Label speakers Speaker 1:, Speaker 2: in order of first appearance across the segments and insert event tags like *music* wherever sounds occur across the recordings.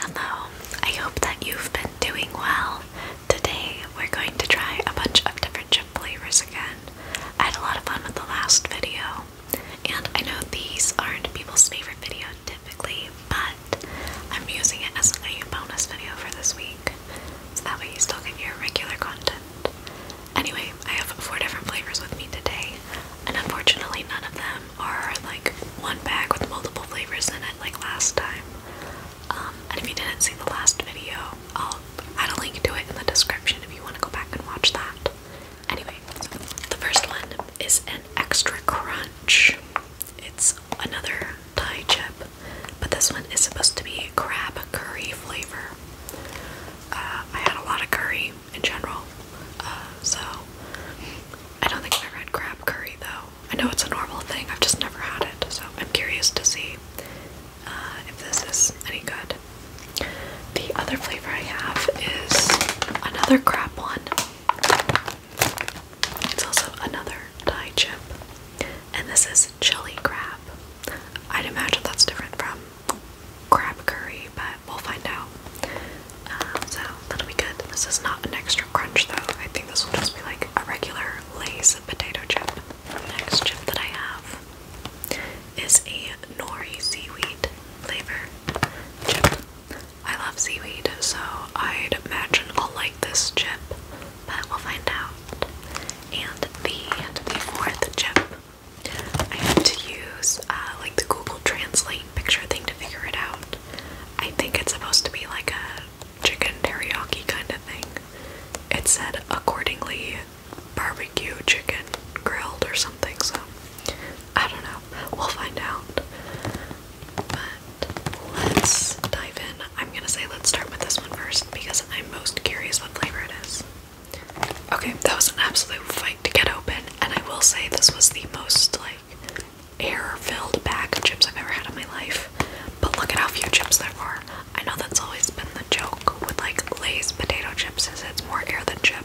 Speaker 1: Hello, I hope that you've been doing well. Today we're going to try a bunch of different chip flavors again. I had a lot of fun with the last video, and I know these aren't people's favorite video typically, but I'm using it as a bonus video for this week, so that way you still get your regular content. Anyway, I have four different flavors with me today, and unfortunately none of them them like one bag with multiple flavors in it, like last time. Um, and if you didn't see the last video, I'll add a link to it in the description if you want to go back and watch that. Anyway, the first one is an extra crunch. It's another Thai chip, but this one is supposed to be crab curry flavor. Uh, I had a lot of curry in general. Uh, so I don't think I've ever had crab curry though. I know it's a normal thing. I've just never had it, so I'm curious to see uh, if this is any good. The other flavor I have is another crab one. It's also another Thai chip, and this is chili crab. I'd imagine that's different from crab curry, but we'll find out. Um, so that'll be good. This is not an extra crunch though. I think this will just be like a regular Lay's potato chip. next chip that I have is a nori seaweed flavor chip. I love seaweed, so I'd imagine I'll like this chip, but we'll find out. And the, the fourth chip, I had to use uh, like the Google Translate picture thing to figure it out. I think it's supposed to be like a chicken teriyaki kind of thing. It said accordingly barbecue chicken grilled or something, so I don't know. We'll find out. But let's dive in. I'm gonna say let's start with this one first because I'm most curious what flavor it is. Okay, that was an absolute fight to get open, and I will say this was the most like air-filled bag of chips I've ever had in my life. But look at how few chips there are. I know that's always been the joke with like Lay's potato chips is it's more air than chip.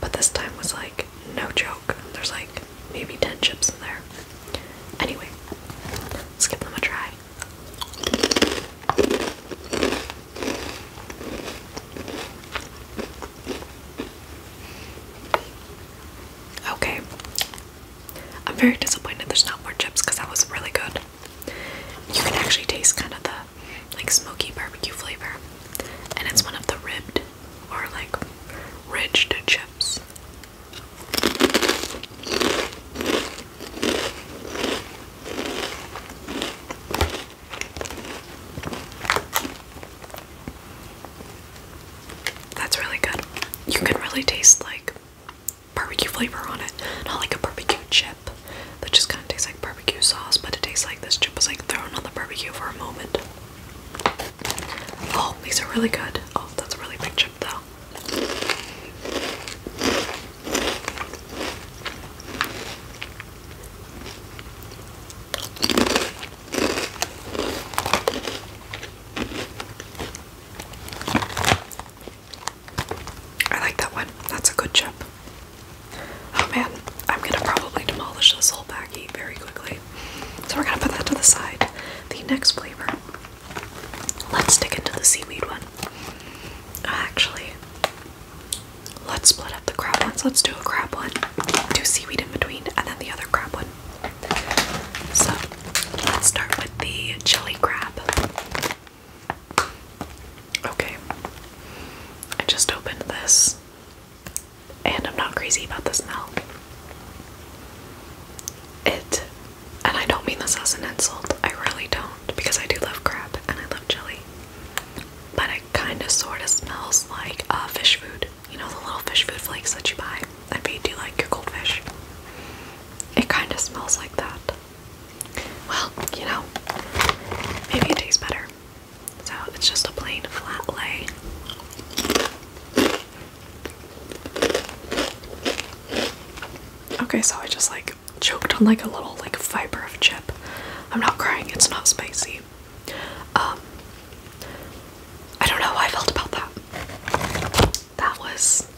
Speaker 1: But this time was like no joke. There's like maybe 10 chips in there. Anyway, let's give them a try. Okay. I'm very disappointed there's not more chips because that was really good. You can actually taste kind of the like smoky barbecue flavor. And it's one of the ribbed or like ridged chips. That's really good. You can really taste like barbecue flavor on it. Not like a barbecue chip that just kind of tastes like barbecue sauce, but it tastes like this chip was like thrown on the barbecue for a moment. Oh, these are really good. Oh, that's a really big chip though. I like that one. That's a good chip. Oh man, I'm gonna probably demolish this whole baggie very quickly. So we're gonna put that to the side. The next flavor. Let's stick into the seaweed one. Actually, Let's split up the crab ones. Let's do a crab one, do seaweed in between, and then the other crab one. So let's start with the chili crab. Okay, I just opened this, and I'm not crazy about the smell. It, and I don't mean this as an insult, I really don't, because I do love crab and I love chili but it kind of sort of smells like uh, fish food. You know, the little fish food flakes that you buy. I bet you like your goldfish. It kind of smells like that. Well, you know, maybe it tastes better. So it's just a plain flat lay. Okay, so I just like choked on like a little like fiber of chip. I'm not crying, it's not spicy. Um, I don't know how I felt about that. That was.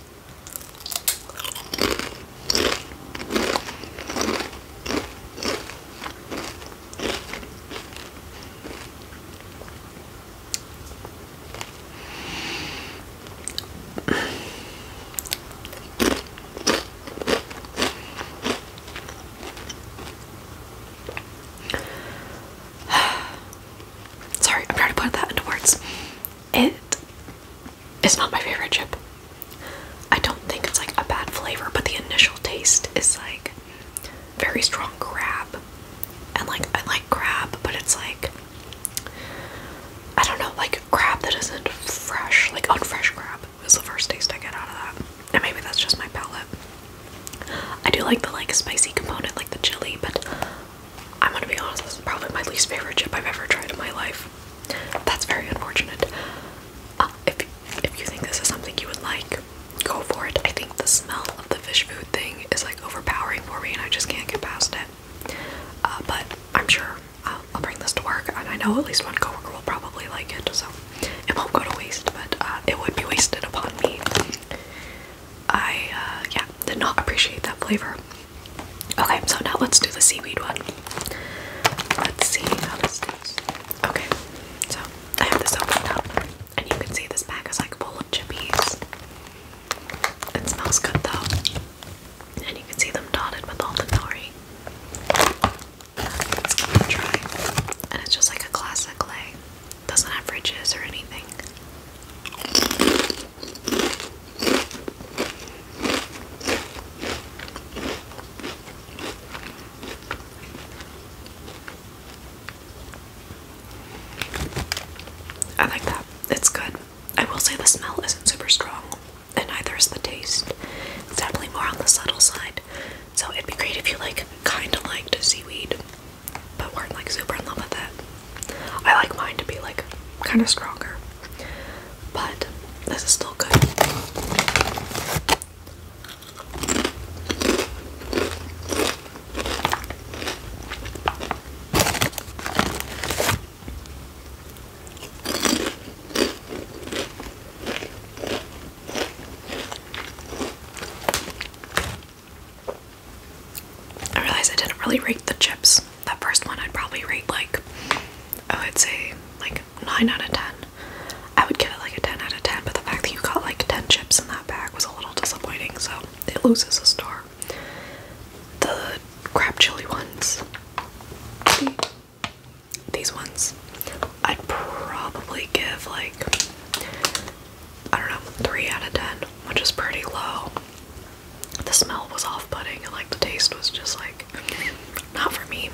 Speaker 1: *sighs* Sorry, I'm trying to put that into words. It is not my favorite chip. I don't think it's like a bad flavor, but the initial taste is like very strong crab. And like, I like crab, but it's like, I don't know, like crab that isn't fresh, like unfresh crab is the first taste I get out of that. And maybe that's just my palate. I do like the like spicy component, like the chili, but I'm gonna be honest, this is probably my least favorite chip I've ever tried in my life. That's very unfortunate. Uh, if if you think this is something you would like, go for it. I think the smell of the fish food thing is like overpowering for me, and I just can't get past it. Uh, but I'm sure I'll bring this to work, and I know at least one coworker will probably like it, so it won't go to waste, but uh, it would be wasted upon me. I, uh, yeah, did not appreciate that flavor. Okay, so now let's do the seaweed one. Let's see how this goes. Okay, so I have this opened up, and you can see this bag is like full of chippies. It smells good though and you can see them dotted with all the nori. Let's give it a try. And it's just like a classic lei. Doesn't have ridges or anything. I like that. It's good. I will say the smell isn't super strong, and neither is the taste. It's definitely more on the subtle side. So it'd be great if you like kinda liked seaweed, but weren't like super in love with it. I like mine to be like kinda stronger. But this is still good. I realized I didn't really rate the chips. That first one I'd probably rate like, I would say like 9 out of 10. I would give it like a 10 out of 10, but the fact that you got like 10 chips in that bag was a little disappointing, so it loses a star. The crab chili ones these ones. I'd probably give like I don't know, three out of ten, which is pretty low. The smell was off-putting and like the taste was just like not for me.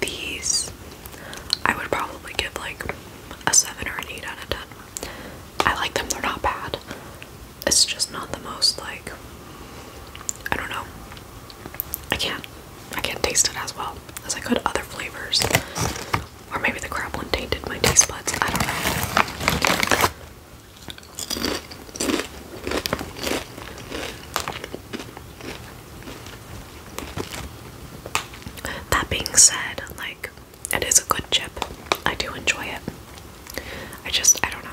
Speaker 1: These I would probably give like a seven or an eight out of ten. I like them, they're not bad it's just not the most like I don't know. I can't I can't taste it as well as I could other flavors. Or maybe the crab one tainted my taste buds. I don't know. That being said, like it is a good chip. I do enjoy it. I just I don't know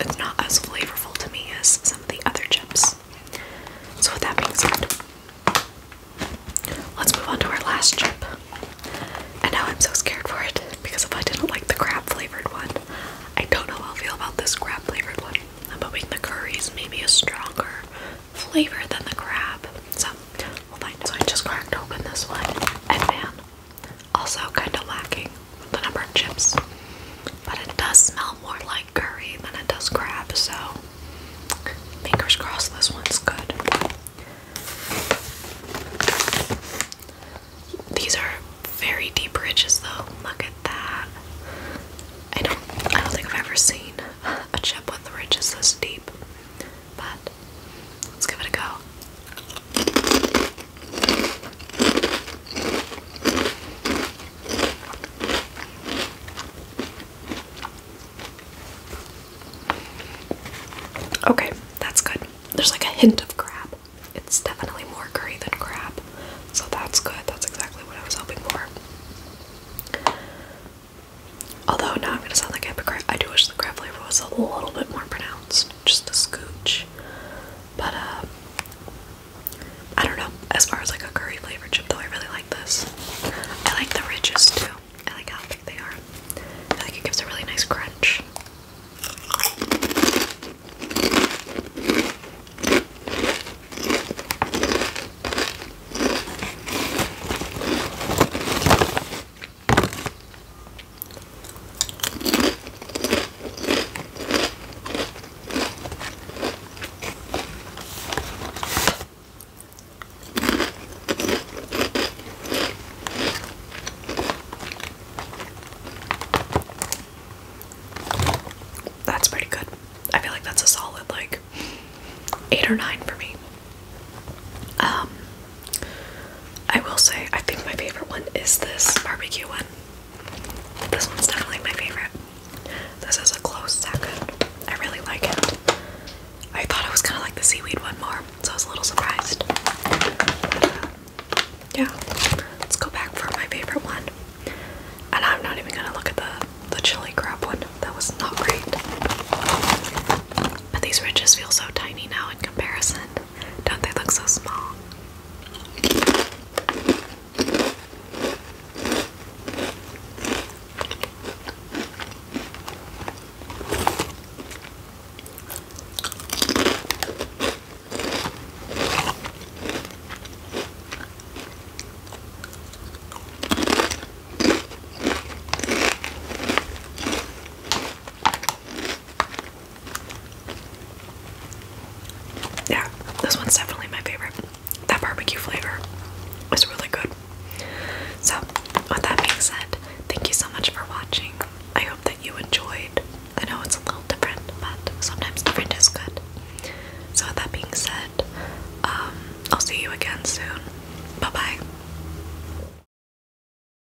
Speaker 1: it's not as flavorful to me as some of the other chips. So with that being said, let's move on to our last chip. And now I'm so scared for it because if I didn't like the crab flavored one, I don't know how I'll feel about this crab flavored one. I'm hoping the curry's maybe a stronger flavor than the crab. So we'll So I just cracked open this one, and man, also, kind of lacking the number of chips, but it does smell more like curry than it does crab, so fingers crossed this one's good. These are very deep ridges, though. Look at that. I don't, I don't think I've ever seen a chip with ridges this deep, but let's give it a go. Okay, that's good. There's like a hint of crab. It's definitely more curry than crab. So that's good. That's exactly what I was hoping for. Although now I'm gonna sound like a hypocrite. I do wish the crab flavor was a little bit more pronounced. Just a scooch. But uh, I don't know. As far as like a curry flavored chip though, I really like this. I like the ridges too. I like how thick they are. I think like it gives a really nice crunch. That's pretty good. I feel like that's a solid like eight or nine for me. Um, I will say, I think my favorite one is this barbecue one. This one's definitely my favorite. This is a close second. I really like it. I thought I was gonna like the seaweed one more, so I was a little surprised. yeah, let's go back for my favorite one. And I'm not even gonna look at the the chili crab one. That was not great. But these ridges feel so tiny now in comparison. Don't they look so small? Yeah, this one's definitely my favorite. That barbecue flavor is really good. So, with that being said, thank you so much for watching. I hope that you enjoyed. I know it's a little different, but sometimes different is good. So, with that being said, um, I'll see you again soon. Bye bye.